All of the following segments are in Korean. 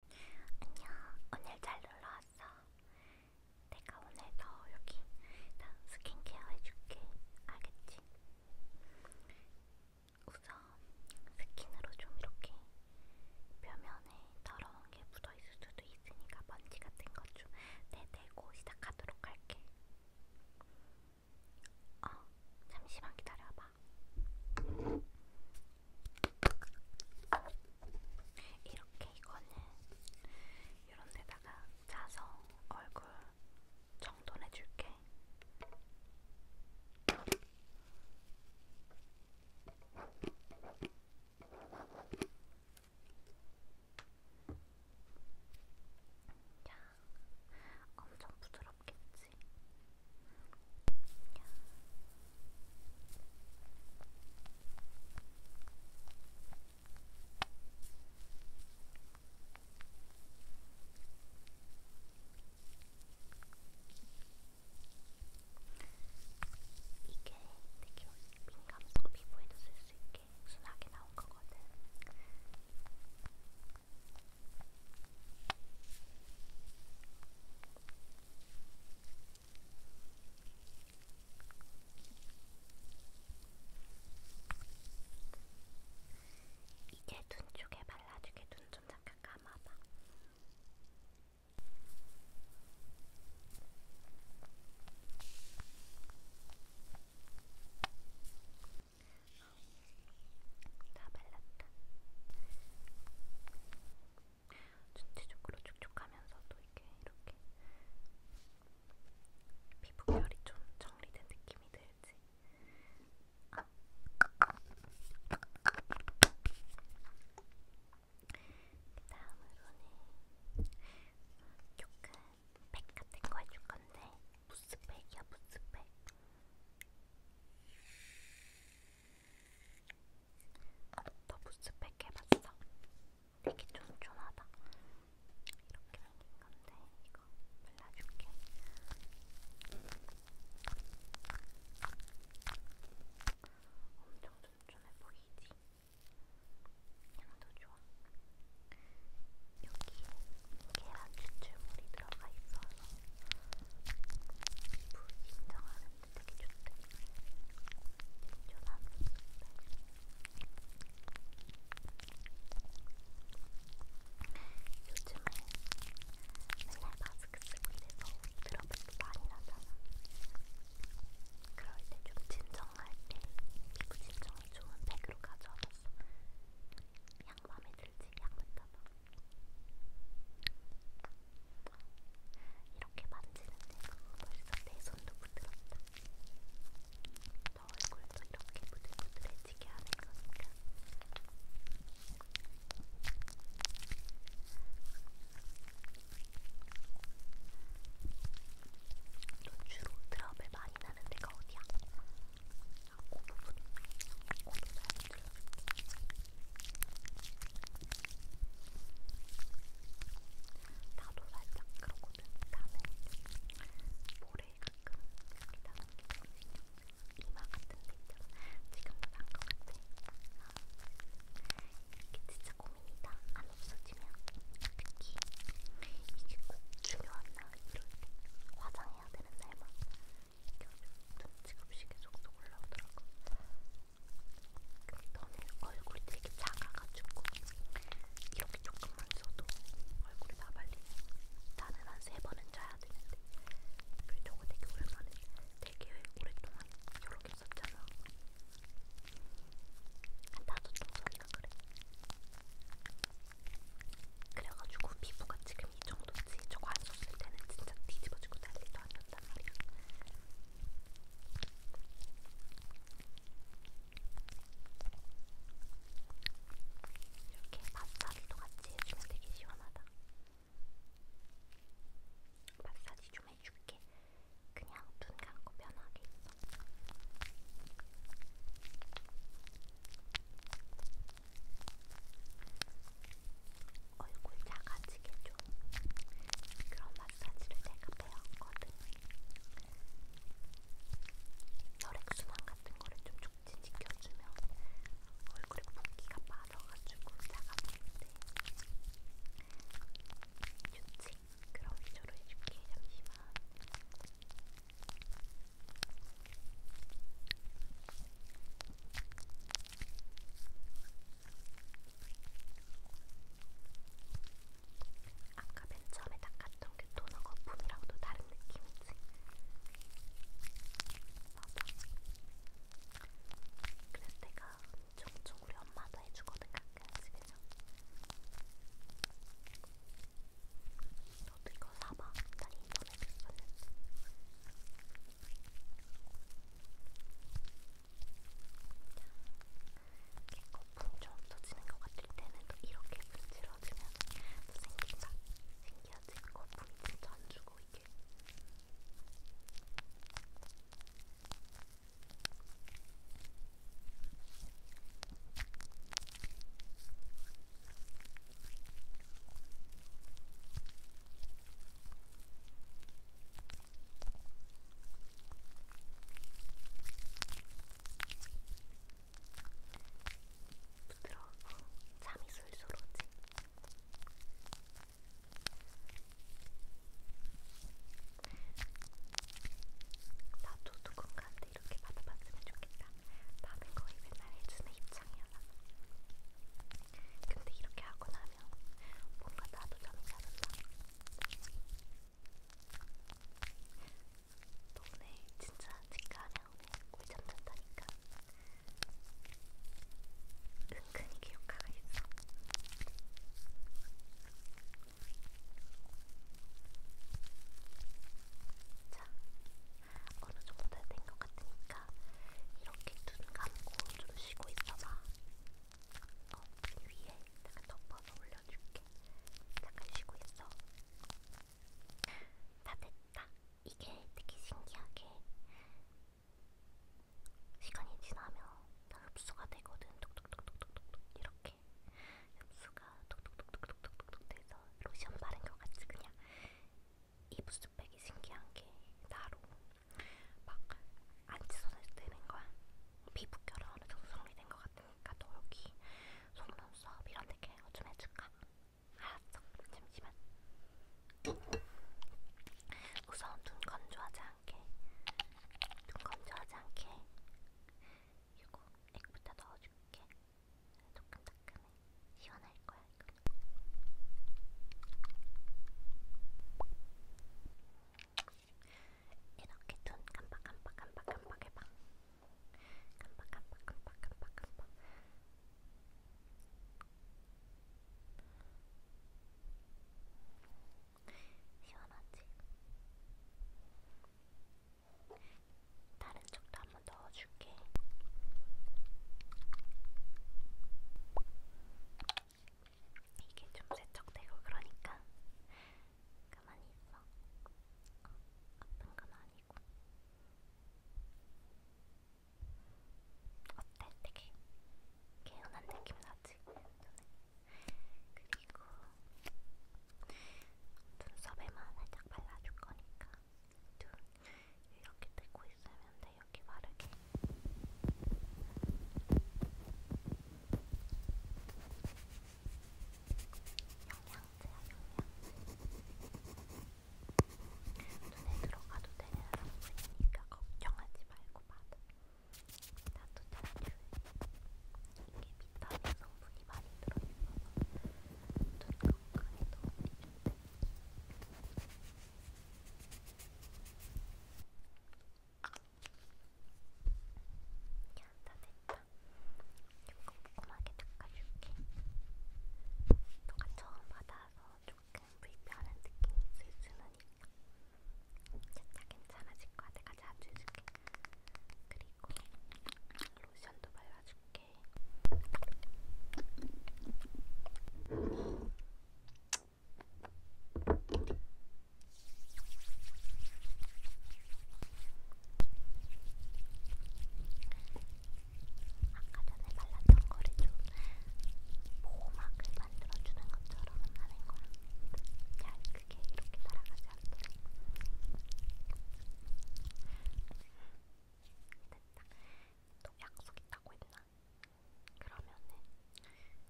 안녕, 오늘 잘 놀러 왔어. 내가 오늘 더 여기 다 스킨케어 해줄게. 알겠지? 우선 스킨으로 좀 이렇게 표면에 더러운 게 묻어 있을 수도 있으니까 먼지 같은 것 좀 내대고 시작하도록 할게. 어, 잠시만 기다려봐. 이렇게 이거는 이런 데다가 짜서 얼굴 정돈해줄게. 야, 엄청 부드럽겠지? 이게 되게 민감성 피부에도 쓸 수 있게 순하게 나온 거거든. 이렇게 이제 눈 쪽에 발라주게 눈 좀 잠깐 감아봐. 다 발랐다. 전체적으로 촉촉하면서도 이렇게 이렇게 피부결이 좀 정리된 느낌이 들지. 아. 그 다음으로는 조금 팩 같은 거 해줄 건데 무스팩이야 무스팩. 더부스 팩 해봤어? 되게 쫀쫀하다. 이렇게 생긴 건데 이거 발라줄게. 엄청 쫀쫀해 보이지? 향도 좋아. 여기 계란 추출물이 들어가 있어서 피부 인정하는 되게 좋대. 전화하는 게 요즘에 맨날 마스크 쓰고 이래서 드러블도 많이 나잖아. 그럴 때 좀 진정할 때 피부 진정에 좋은 백으로 가져와봤어. 양 마음에 들지? 양 맞다봐. 이렇게 만지는데도 벌써 내 손도 부드럽다. 너 얼굴도 이렇게 부들부들해지게 하는 거니까. 또 주로 드럼을 많이 나는 데가 어디야? 아, 그 부분. 그 부분 잘 들어줄게. 나도 살짝 그러거든. 나는 모래에 가끔 이렇게 담기고 이마 같은 데 있잖아. 지금도 난것 같아. 이게 진짜 고민이다. 안 없어지면 특히 이게 꼭 중요한 날 이럴 때 화장해야 되는 날만 이렇게 눈치가 없이 계속 올라오더라고. 너는 얼굴이 되게 작아가지고 이렇게 조금만 써도 얼굴이 다 발리네. 나는 한 세 번은 자야 되는데 그 저거 되게 오랜만에 되게 오랫동안 여러 개 썼잖아. 한 다섯 통 썼나 그래. 그래가지고 피부가 지금 이 정도지 저거 안 썼을 때는 진짜 뒤집어지고 난리도 아니었단 말이야. 이렇게 마사지도 같이 해주면 되게 시원하다. 마사지 좀 해줄게. 그냥 눈 감고 편하게 있어. 얼굴 작아지게 좀 그런 마사지를 내가 배웠거든. 혈액순환 같은 거를 좀 촉진시켜주면 얼굴에 붓기가 빠져가지고 작아지는데 좋지? 그럼 위주로 해줄게. 잠시만. 아까 맨 처음에 닦았던 그 토너 거품이랑도 다른 느낌이지? 맞아. 그래서 내가 종종 우리 엄마도 해주거든 가끔 집에서. 너도 이거 사봐. 난 인터넷에서 샀는데. 거품 좀 터지는 것 같을 때는 또 이렇게 문질러주면 또 생긴다. 신기하지? 거품이 진짜 안 주고 이게. 부드러워. 잠이 술술 오지. 나도 누군가한테 이렇게 받아봤으면 좋겠다. 나는 거의 맨날 해주는 입장이야. 근데 이렇게 하고 나면 하면 뭔가 나도 잠이 잘 온다. 너 오늘 진짜 직감에 오늘 꿀잠 잤다니까. 은근히 기억하가 있어. 자, 어느 정도 된 것 같으니까 이렇게 눈 감고 좀 쉬고 있어봐. 어, 이 위에 잠깐 덮어서 올려줄게. 잠깐 쉬고 있어. 다 됐다. 이게 되게 신기하게 시간이 지나면 다 흡수가 되거든. 톡톡톡톡톡톡 이렇게 흡수가 톡톡톡톡톡톡 돼서 로션 바른 것 같이 그냥 이 부스백이 신기한 게 나로 막 안지 손을 뜨는 거야. 피부결은 어느 정도 정리된 것 같으니까 너 여기 속눈썹 이런 데 케어 좀 해줄까? 알았어. 잠시만. 우선 눈 건조하지 않게. 눈 건조하지 않게. 이거 액부터 넣어줄게. 조금따끔해 시원할 거야 이거. 이렇게 눈 깜빡깜빡 깜빡깜빡 해봐. 깜빡깜빡 깜빡깜빡 깜빡. 시원하지? 다른 쪽도 한번 넣어줄게. 이게 좀 세척되고 그러니까 가만히 있어. 어, 아픈 건 아니고. 어때? 되게 개운한 느낌 나지? 눈에. 그리고 눈썹에만 살짝 발라줄 거니까 눈 이렇게 뜨고 있으면 돼. 여기 바르게. 영양제야, 영양제. 눈에 들어가도 되는 성분이니까 걱정하지 말고 받아. 나도 잘 좋아해. 이게 비타민 성분이 많이 들어있어서 눈 건강에 도움이 준대. 다 됐다. 조금 꼼꼼하게 닦아줄게. 너가 처음 받아서 조금 불편한 느낌이 있을 수는 있어. 진짜 괜찮아질 거야. 내가 자주 해줄게. 그리고 로션도 발라줄게. 아까 전에 발랐던 거를 좀 보호막을 만들어주는 것처럼 하는 거야. 잘 크게 이렇게 날아가지 않도록. 됐다. 또 약속 있다고 했나? 그러면은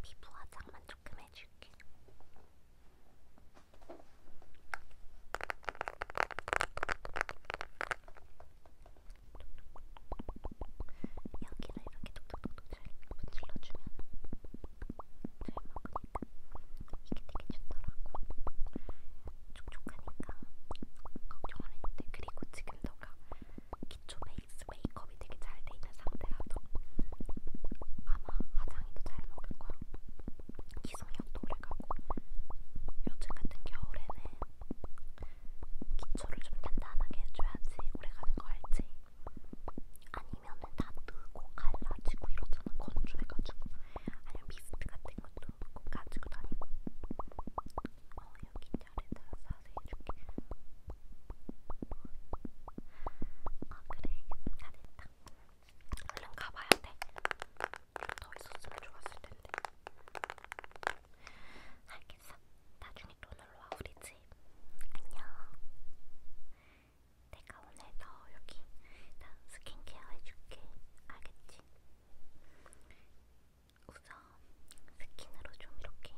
피부 화장만 조금 해줄게. 여기를 이렇게 톡톡톡톡 잘 문질러주면 잘 먹으니까 이게 되게 좋더라고. 촉촉하니까 걱정 안 해도 돼. 그리고 지금 너가 기초 베이스 메이크업이 되게 잘 돼 있는 상태라도 아마 화장이도 잘 먹을 거야. 기성력도 오래 가고 요즘 같은 겨울에는 기초를 좀 단단하게 해줘야지 오래 가는 거 알지? 아니면은 다 뜨고 갈라지고 이러잖아 건조해가지고 아니면 미스트 같은 것도 꼭 가지고 다니고 어 여기 자리다 자세히 줄게. 아 그래, 잘했다. 얼른 가봐야 돼. 좀더 있었으면 좋았을 텐데. 알겠어. 나중에 또 놀러 와 우리 집. 안녕. 내가 오늘 너 여기 나 스킨케어 해줄게. 알겠지? 우선 스킨으로 좀 이렇게